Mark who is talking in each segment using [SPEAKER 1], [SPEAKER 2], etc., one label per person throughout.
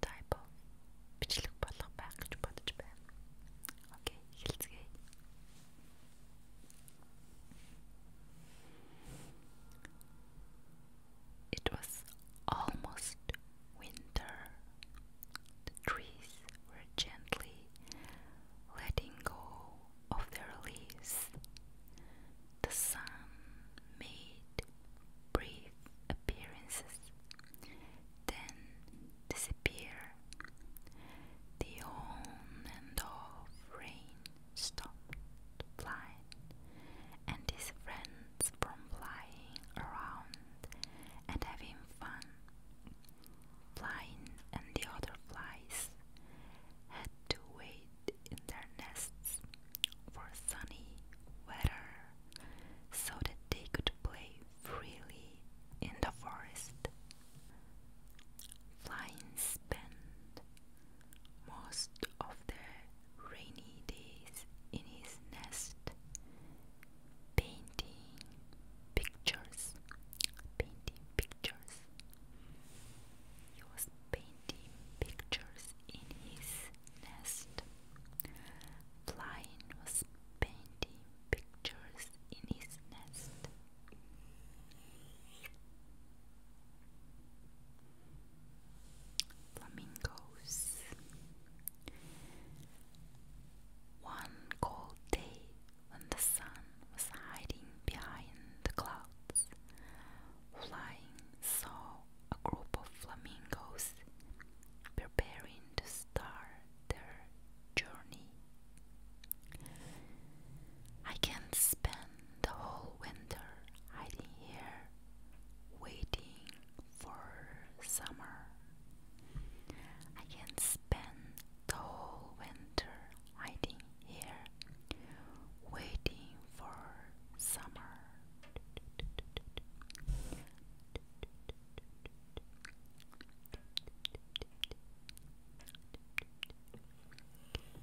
[SPEAKER 1] typo бичлэг болох байх гэж бодож байна. It was almost winter. The trees were gently letting go of their leaves. The sun made brief appearances, then disappear. The on and off rain stopped flying, and his friends from flying around and having fun. Flying and the other flies had to wait in their nests for sunny weather so that they could play freely in the forest. Flying spent most of the rainy days in his nest, painting pictures, painting pictures. He was painting pictures in his nest. Flying was painting pictures in his nest. Flamingos. One cold day when the sun was hiding behind the clouds, Flying saw a group of flamingos preparing to start their journey. I can spend the whole winter hiding here, waiting for summer. I can spend the whole winter hiding here, waiting for summer.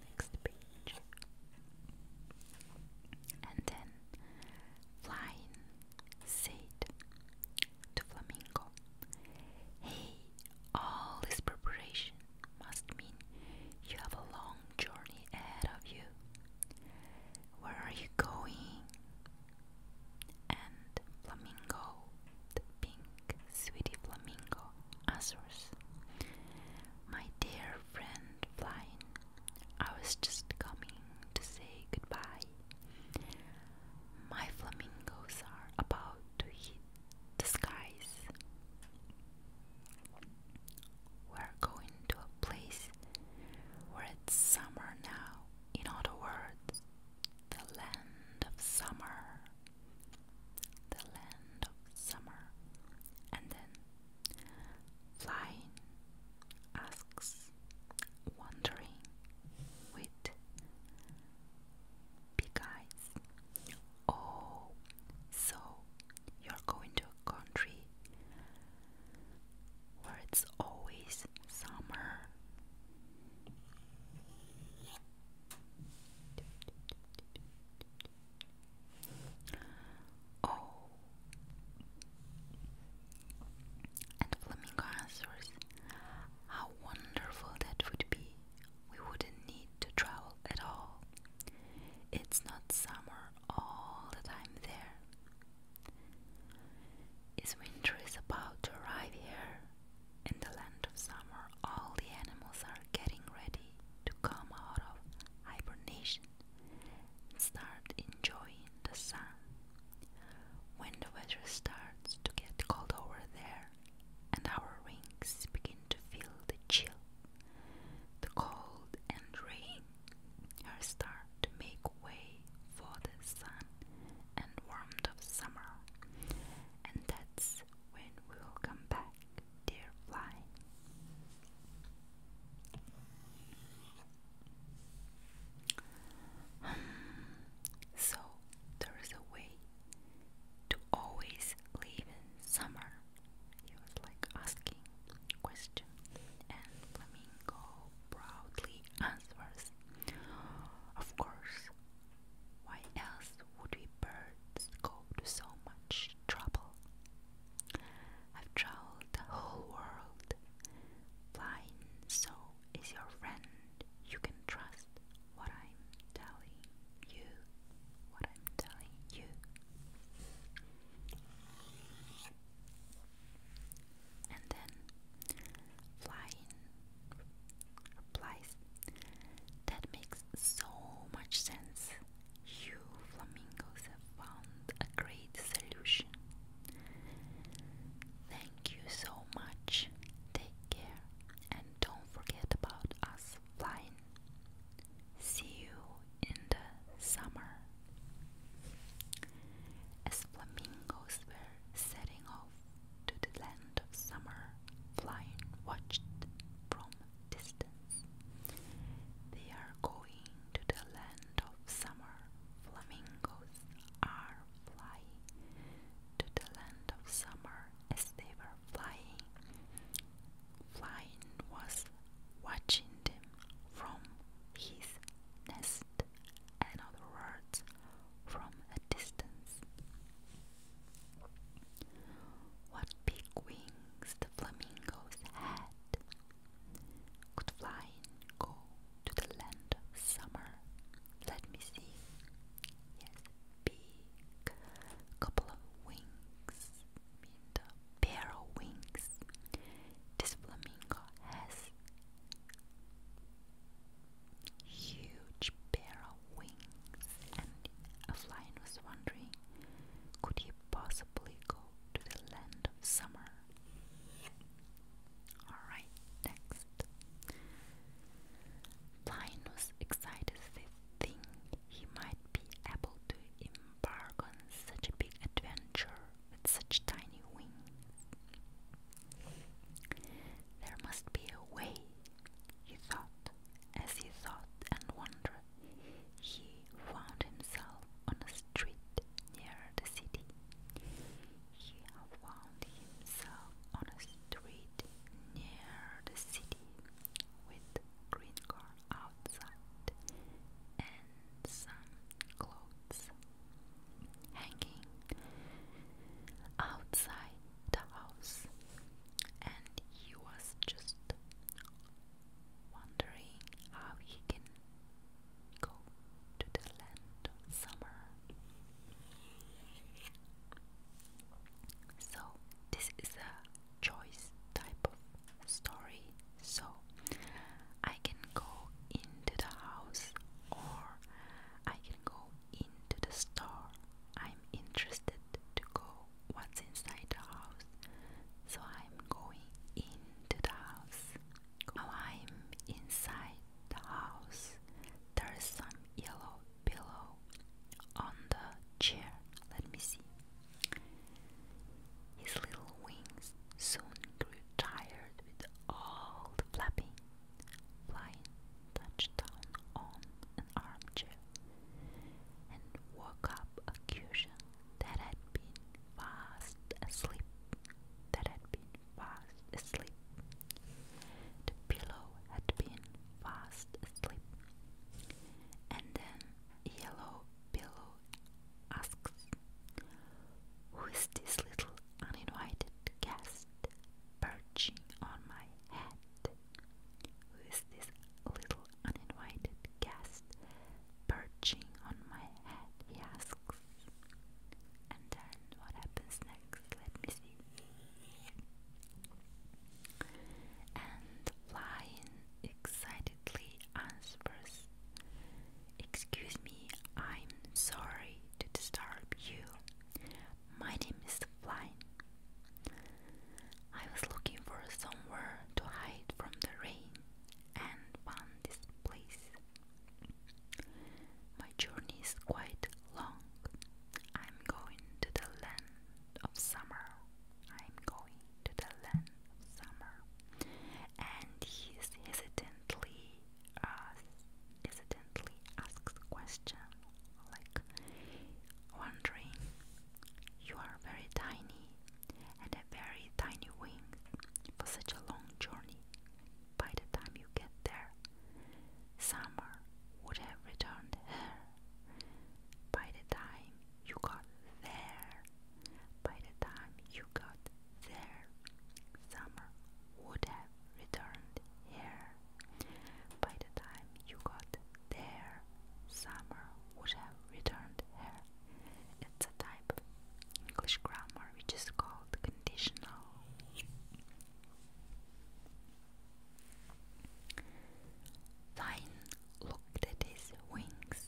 [SPEAKER 1] Next page. And then flying said to Flamingo, Hey, all this preparation must mean you have a long journey ahead of you. Where are you going? and flamingo, the pink sweetie flamingo, Azores. My dear friend Flying, I was just coming to say goodbye. My flamingos are about to hit the skies. We're going to a place where it's summer now in other words, the land of summer, the land of summer. And then flying asks, wandering with big eyes. Oh, so you're going to a country where it's always summer. Oh, and Flamingo answers, How wonderful that would be! We wouldn't need to travel at all. It's not summer all the time there. As winter is about to arrive here, in the land of summer, all the animals are getting ready to come out of hibernation and start enjoying the sun. When the weather starts to get cold over there, and our wings begin to feel the chill, the cold and rain her star to make way for the sun and warmth of summer. And that's when we'll come back, dear fly. Hmm. so there is a way to always live in summer. You're like asking question and flamingo proudly answers, Of course. Why else would we birds go to so much trouble? I've traveled the whole world. Flying so is your friend. You can trust what I'm telling you. What I'm telling you and then flying replies that makes so much sense you flamingos have found a great solution thank you so much take care and don't forget about us flying see you in the summer as flamingos were setting off to the land of summer, Flying watched from distance. They are going to the land of summer. Flamingos are flying to the land of summer as they were flying. Flying was watching them from his nest and other words from a distance. What big wings the flamingos had could flying go to the land of summer? Let me see. Yes, big couple of wings mean pair of wings. This flamingo has huge pair of wings, and a flion was wondering could he possibly go to the land of summer? Alright, next. Flion was excited to think he might be able to embark on such a big adventure with such tiny wings. There must be a way, he thought. As he thought and wondered, he found himself on a street near the city. He found himself on a street near the city with green car outside and some clothes hanging outside the house, and he was just wondering how he can go to the land summer. So, this is a choice type of story. So, I can go into the house or I can go into the store. I'm interested to go what's inside the house. So I'm going into the house. Now I'm inside the house. There is some yellow pillow on the chair. Let me see. His little wings soon grew tired with all the flapping, flying, touched on an armchair, and woke up a cushion that had been fast asleep. That had been fast asleep. The pillow had been fast asleep. And then Yellow Pillow asks, who is this little uninvited guest perching on my head? Who is this little uninvited guest perching on my head? He asks. And then what happens next? Let me see. And flying excitedly answers Excuse me, I'm sorry to disturb you. My name is Flynn. I was looking for somewhere to hide from the rain and found this place. My journey is quite long. I'm going to the land of summer. I'm going to the land of summer. And he hesitantly uh, hesitantly asks question, like wondering, You are very tiny and have very tiny wings for such a long journey. By the time you get there, summer would have returned By the time you got there, by the time you got there, summer would have returned here. By the time you got there, summer would have returned here. It's a type of English grammar which is called conditional. Thine looked at his wings.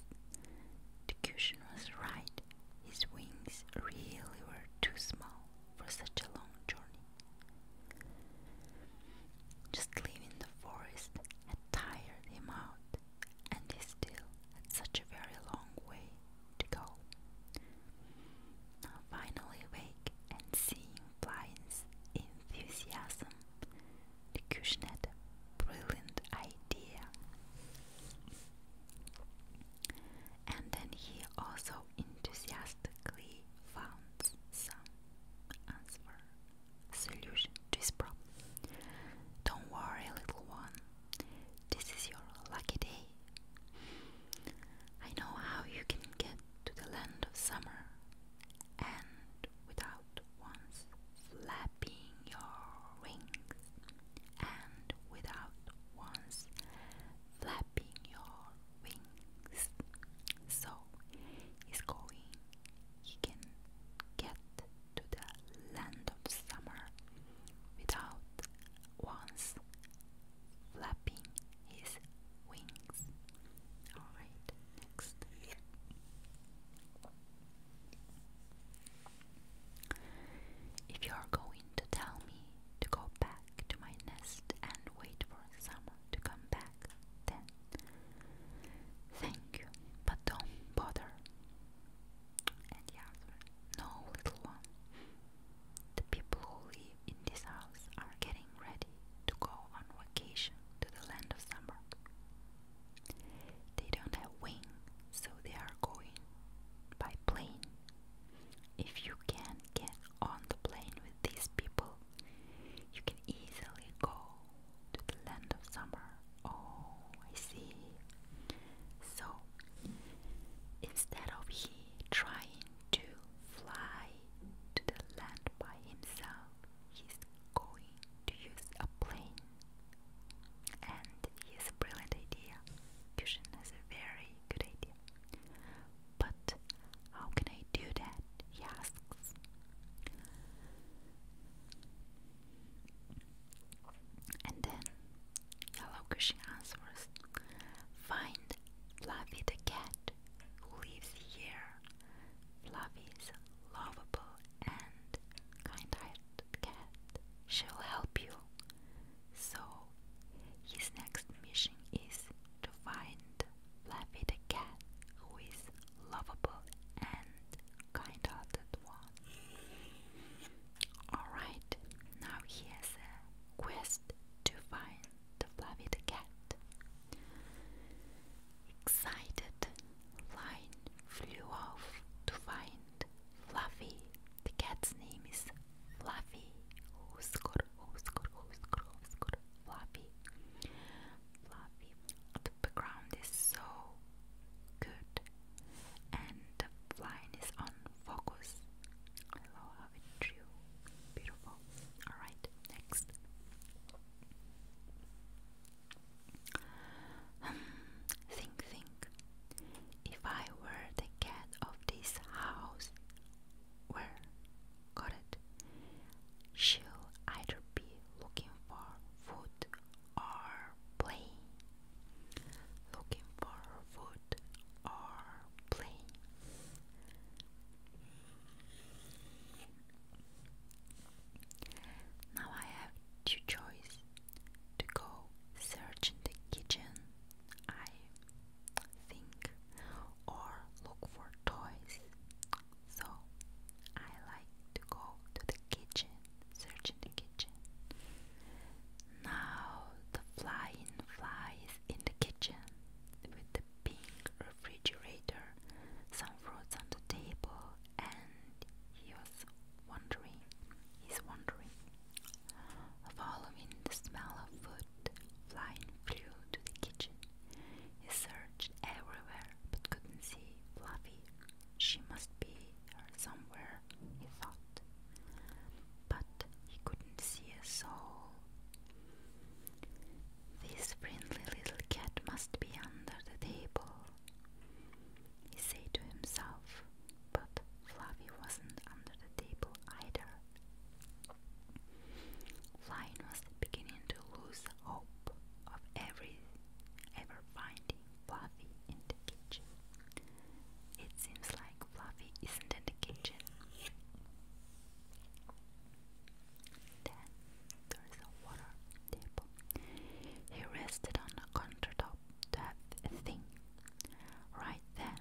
[SPEAKER 1] The cushion was right, his wings really were too small for such a long journey. Just leaving the forest had tired him out, and he still had such a very long way to go. finally awake and seeing Blythe's enthusiasm, the cushion brilliant idea. And then he also enthusiastically found some answer, solution to his problem. Don't worry, little one. This is your lucky day. I know how you can get to the land of summer and without once flapping your wings and without once flapping your wings. So he's going, he can get to the land of summer without once flapping his wings. Alright, next. If you are going to tell me to go back to my nest and wait for summer to come back then. Thank you, but don't bother. And the answer, no, little one. The people who live in this house are getting ready to go on vacation to the land of summer. They don't have wings, so they are going by plane if you can get on the plane with these people, you can easily go to the land of summer. Oh, I see. So, instead of he trying to fly to the land by himself, he's going to use a plane. And he a brilliant idea. Cushion has a very good idea. But how can I do that? He asks. And then Yellow Cushion answers Find Fluffy the cat who lives here. Fluffy lovable and kind hearted cat. She'll help you so, his next mission is to find Fluffy the cat, who is lovable and kind-hearted one. Alright, now he has a quest to find the Fluffy the cat. Excited, Flying flew off to find Fluffy. The cat's name is Fluffy. Oscar, Oscar, Oscar, Oscar, Fluffy. Fluffy. The background is so good, and the line is on focus. I how it drew. Beautiful. Alright, next. Hmm, think, think. If I were the cat of this house, where got it? She'll either be looking for food or playing. Looking for food or playing. Now I have two choices to go search in the kitchen. I think or look for toys. So I like to go to the kitchen, search in the kitchen. Now the flying fly is in the kitchen with the pink refrigerator, some fruits on the table, and he was wondering, he's wondering Following the smell of food, Flying flew to the kitchen. He searched everywhere but couldn't see Fluffy. She must be somewhere, he thought. But he couldn't see a soul. This friendly little cat must be under the table, he said to himself. But Fluffy wasn't under the table either. Flying was beginning to lose hope of every ever finding Fluffy in the kitchen. It seems like Fluffy isn't in the kitchen. Then there is a water table. He rested on a countertop to have a thing. Right then,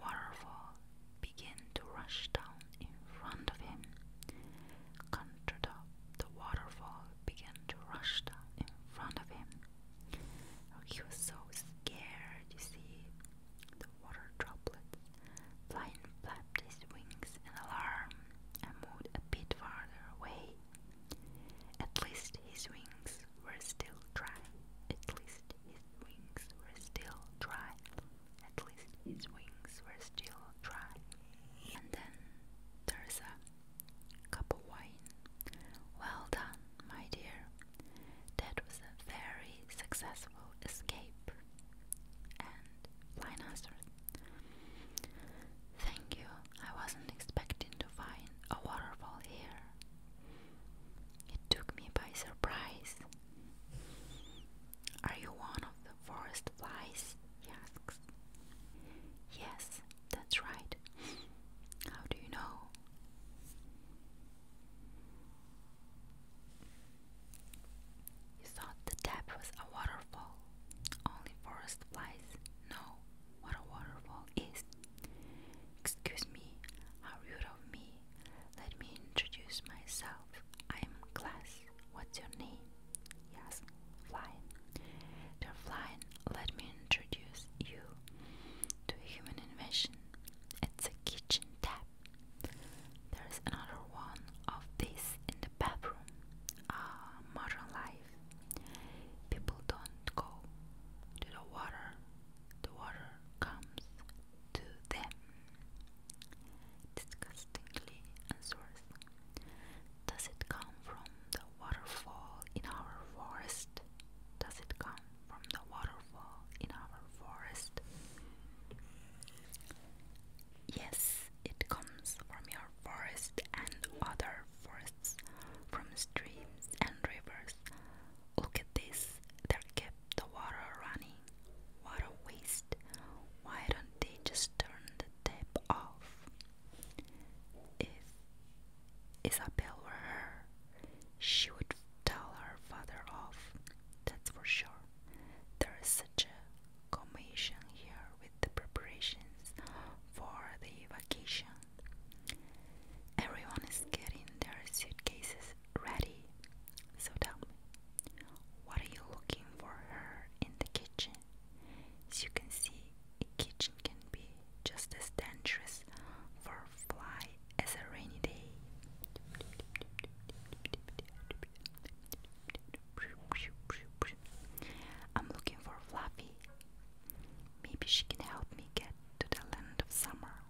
[SPEAKER 1] waterfall began to rush down in front of him. Controdop, the waterfall began to rush down in front of him. Oh, he was so scared, you see. The water droplets. Flying flapped his wings in alarm and moved a bit farther away. At least his wings were still dry. At least his wings were still dry. At least his wings were still dry. And then there's cup of wine. Well done, my dear. That was a very successful escape. And Lion answered, Thank you. I wasn't expecting to find a waterfall here. It took me by surprise. Are you one of the forest flies? he asks. Yes, that's right. How do you know? You thought the tap was a waterfall. Only forest flies know what a waterfall is. Excuse me, how rude of me let me introduce myself. I'm Glass. What's your name? Yes, Flying. Dear Flying, let me introduce you to a human invention. It's a kitchen tap. There's another one of this in the bathroom. Ah, modern life. People don't go to the water the water comes to them. Disgustingly answers, Does it come from the waterfall in our forest? Does it come from the waterfall in our forest? Yes, it comes from your forest and other forests, from streams and rivers. Look at this, they're kept the water running. What a waste. Why don't they just turn the tap off? If Isabel were her, she would tell her father off, that's for sure. There is such a commotion here with the preparations for the vacation. Everyone is getting their suitcases ready. So what are you looking for her in the kitchen? As you can see, a kitchen can be just as dangerous for a fly as a rainy day. I'm looking for Fluffy. Maybe she can help me get to the land of summer.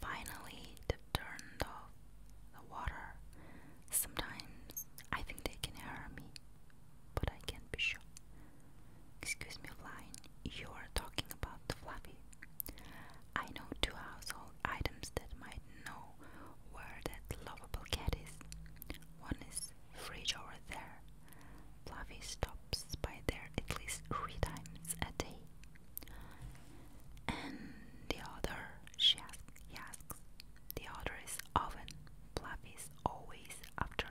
[SPEAKER 1] Finally, they turned off the water. Sometimes I think they can hear me, but I can't be sure. Excuse me, Flying, you are talking about the fluffy. I know two household items that might know where that lovable cat is. One is fridge over there. Fluffy stops by there at least three times a day. And the other, she asks, he asks. The other is oven. Fluffy is always after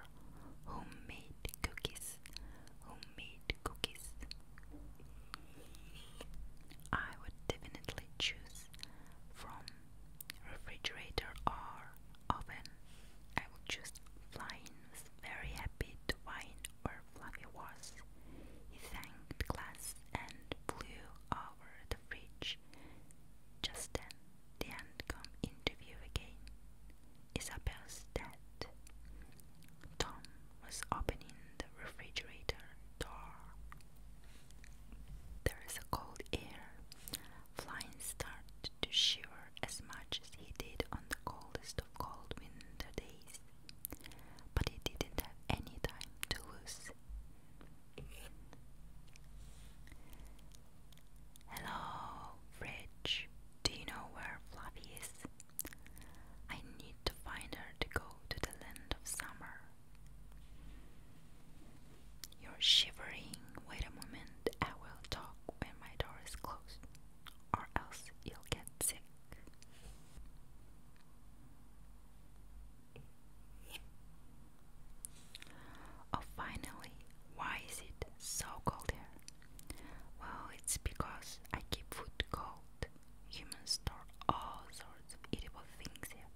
[SPEAKER 1] homemade cookies. Homemade cookies. I would definitely choose from refrigerator or oven I would choose Flying was very happy to find where Fluffy was. He thanked the and flew over the bridge. Just then, the ant come into view again. Isabel's dead. Tom was opening the refrigerator door. There is a cold air. Flying started to shiver as much as he did on the coldest of cold winter days, but he didn't have any time to lose. Hello, Fridge. Do you know where Fluffy I need to find her to go to the land of summer. You're shivering. Wait a moment. I will talk when my door is closed, or else you'll get sick. Oh, finally, why is it so cold here? Well, it's because I keep food cold. Humans store all sorts of edible things here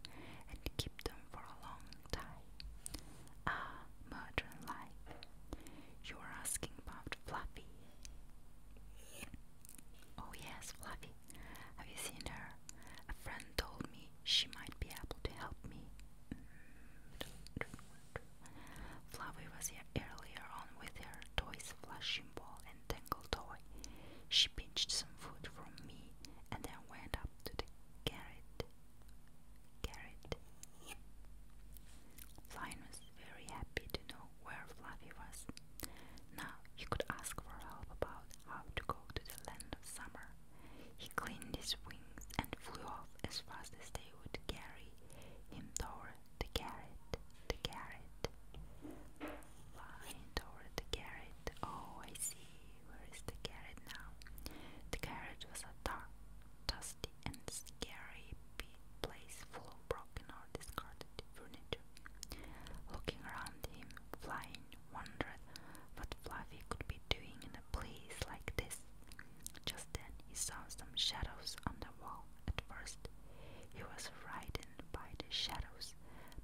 [SPEAKER 1] and keep them for a long time. Ah, modern life. You are asking about Fluffy. Oh, yes, Fluffy. Have you seen her? A friend told me she might be able to help me. Fluffy was here earlier on with her toys, flashing ball, and tangle toy. She pinched some food from me and then went up to the garret carrot. Lion was very happy to know where Fluffy was. Now he could ask for help about how to go to the land of summer. He cleaned his wings and flew off as fast as they would carry him toward the carrot, the carrot. Flying toward the carrot. Oh, I see. Where is the carrot now? The carrot was a dark, dust dusty and scary place full of broken or discarded furniture. Looking around him, Flying wondered what Fluffy could be doing in a place like this. Just then he saw some shadows on the wall. At first, he was frightened by the shadows,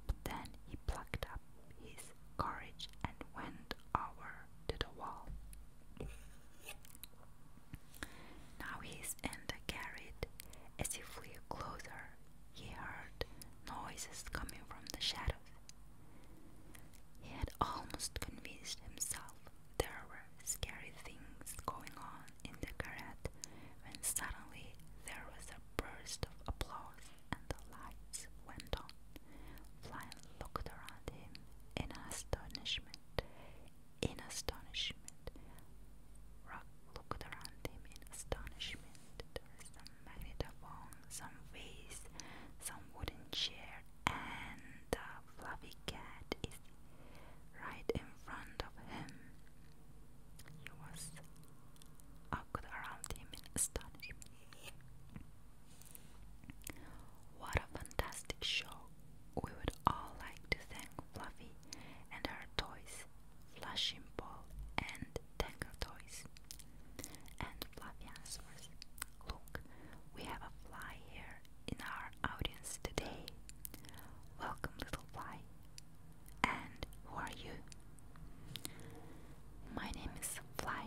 [SPEAKER 1] but then he plucked up his courage and went over to the wall. Now his end carried as he flew closer. He heard noises coming from the shadows. He had almost convinced himself there were scary things going on in the garret when suddenly there was a burst of applause and the lights went on. Flynn looked around him in astonishment in astonishment. Rock looked around him in astonishment. There was some magnetophone, some vase, some wooden chair, and a fluffy cat is right in front of him. He was awkward around him in astonishment. What a fantastic show! We would all like to thank Fluffy and her toys, Flushing Ball and Tangle Toys. And Fluffy answers, Look, we have a fly here in our audience today. Welcome, little fly. And who are you? My name is Fly.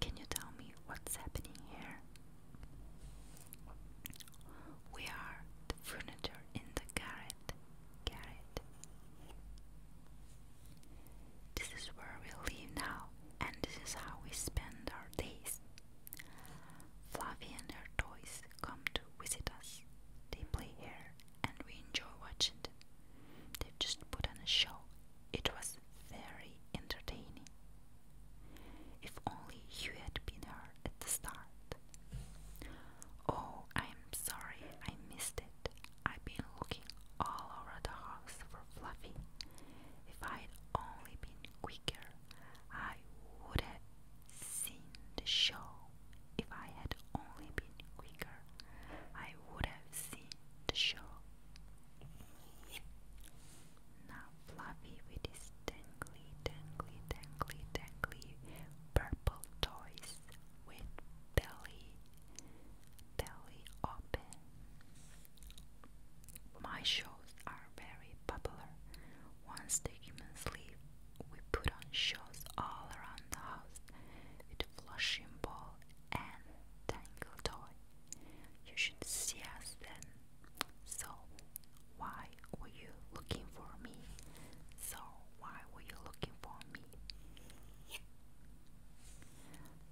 [SPEAKER 1] Can you tell me what's happening here? We are the furniture in the garret. Garret. This is where we live now, and this is how we spend our days. Fluffy and her toys come to visit us. They play here, and we enjoy watching them. They've just put on a show. It was very entertaining. If only you had been here at the start. Oh, I'm sorry I missed it. I've been looking all over the house for Fluffy. If I'd only been quicker, I would have seen the show. If I had only been quicker, I would have seen the show. Now Fluffy with his dangly, dangly, dangly, dangly purple toys with belly, belly open. My shows are very popular. Once the humans sleep, we put on shows all around the house with a flushing ball and tangle toy. You should see us then. So, why were you looking for me? So, why were you looking for me?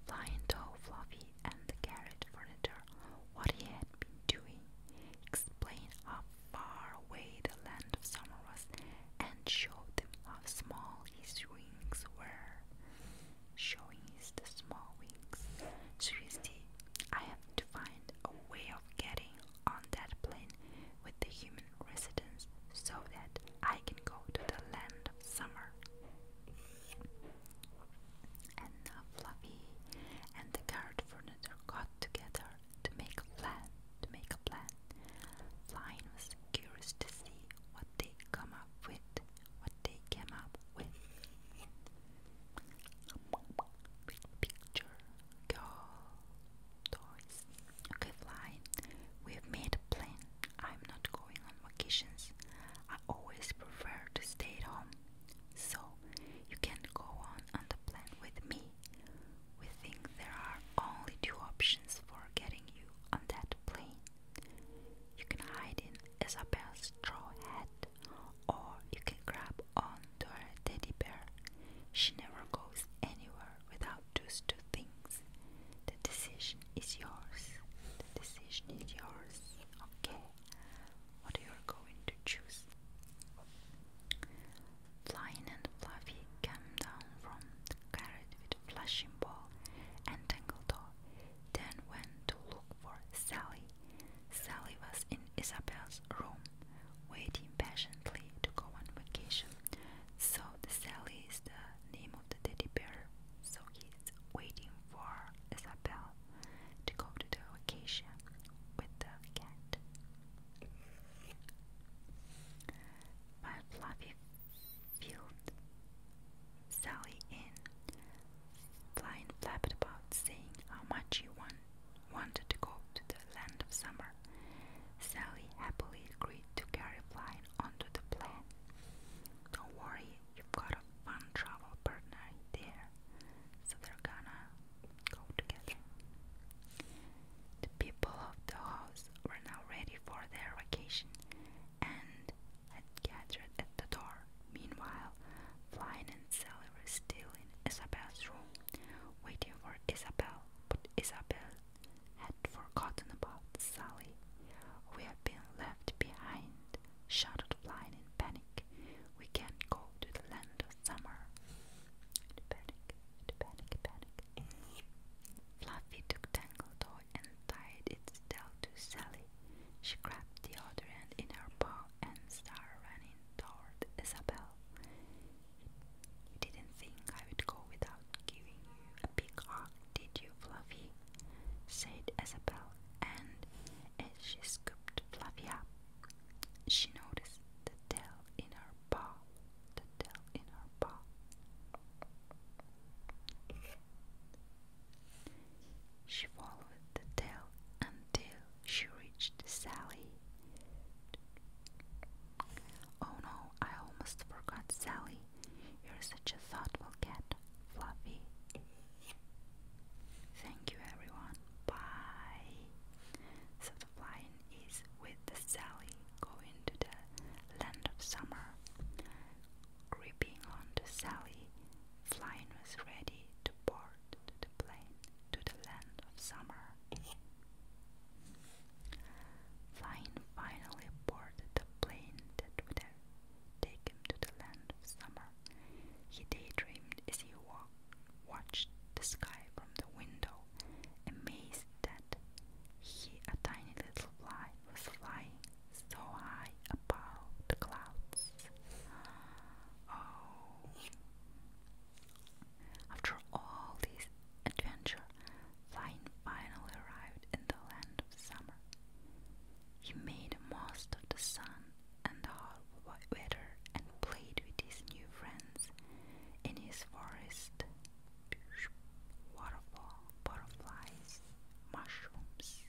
[SPEAKER 1] Lion told Fluffy and the carrot furnitor what he had been doing, explained how far away the land of summer was, and showed them how small his wings were showing his small wings. to Twisty, I have to find a way of getting on that plane with the human residents so that I can go to the land of summer. And Fluffy and the carrot furniture got together to make a plan. To make a plan, Flying was curious to see what they come up with, they came up with. picture, girl, toys. Okay, fly. We've made a plan. I'm not going on vacations. I always prefer to stay at home. So, you can go on on the plane with me. We think there are only two options for getting you on that plane. You can hide in Isabel's straw hat or you can grab onto her teddy bear. She never goes anywhere without those two things. The decision is yours. The decision is yours. Okay. What you going to choose. Flying and Fluffy came down from the carriage with a flashing ball and Tangletoe then went to look for Sally. Sally was in Isabel's room, waiting patiently to go on vacation. So the Sally is the name of the teddy bear. So he's waiting for Isabel to go to the vacation with the cat. By Fluffy Field Sally in Flying flapped about, saying how much he want, wanted to go to the land of summer. Sally happily agreed to carry Flying onto the plane. Don't worry, you've got a fun travel partner there, so they're gonna go together. The people of the house were now ready for their vacation and had gathered at the door. Meanwhile, Flynn and Sally were still in Isabel's room, waiting for Isabel, but Isabel had forgotten about Sally. We have been left behind, shouted Flynn in panic. We can't go to the land of summer. panic, panic, panic. Fluffy took Tangletoy and tied it tail to Sally. She grabbed the other end in her paw and started running toward Isabel. didn't think I would go without giving you a big hug, did you, Fluffy? said Isabel, and as she scooped Fluffy up, she noticed the tail in her paw. The tail in her paw. She followed the tail until she reached Sally. Oh no, I almost forgot Sally. You're such a thoughtful cat, Fluffy. Thank you, everyone. Bye. So the flying is with Sally going to the land of summer. Gripping onto Sally, flying was ready to board the to the land of summer. Fine finally boarded the plane that would have him to the land of summer. He daydreamed as he walked, watched the sky from the window, amazed that he, a tiny little fly, was flying so high above the clouds. Oh. After all this adventure, Fine finally arrived in the land of summer. He made the most of the sun and the hot weather and played with his new friends in his forest. Waterfall, butterflies, mushrooms,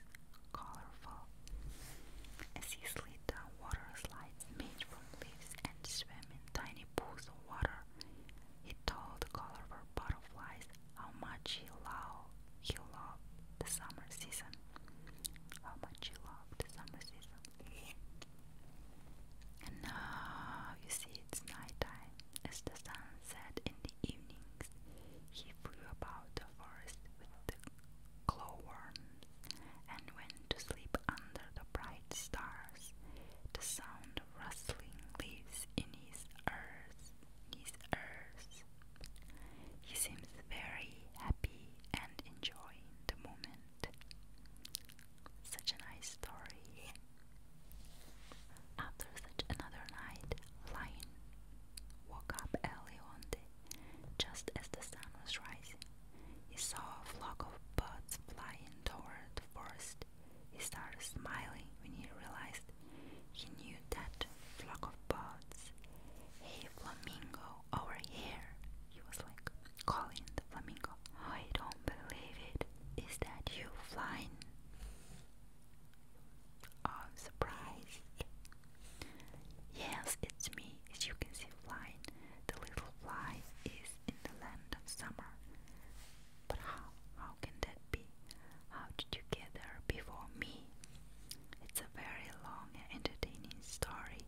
[SPEAKER 1] colorful as he slid down water slides made from leaves and swam in tiny pools of water. He told the colorful butterflies how much he loved, he loved the summer season. How much he loved the summer season. And now you see it's nighttime. As the sun set in the evenings, he flew about the forest with glowworms, and went to sleep under the bright stars. The sound of rustling leaves in his ears. His ears. He seems very happy and enjoying the moment. Such a nice story. After such another night, Lion woke up early one day just as the sun was rising, he saw a flock of birds flying toward the forest. He started smiling when he realized he knew that flock of birds. Hey flamingo, over here! He was like calling the flamingo. I don't believe it. Is that you flying? Of surprise, it Yes, it's me, as you can see flying. The little fly is in the land of summer. But how? How can that be? How did you get there before me? It's a very long entertaining story,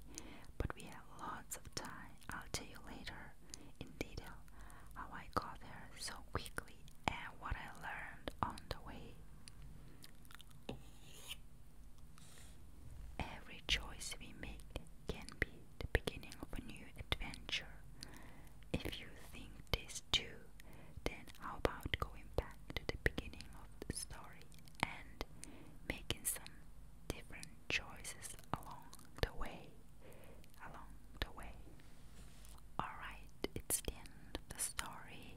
[SPEAKER 1] but we have lots of time. I'll tell you later in detail how I got there so quickly and what I learned on the way. Every choice we make can be the beginning of a new adventure. If you think this too, then how about going back to the beginning of the story and making some different choices along the way? Along the way. Alright, it's the end of the story.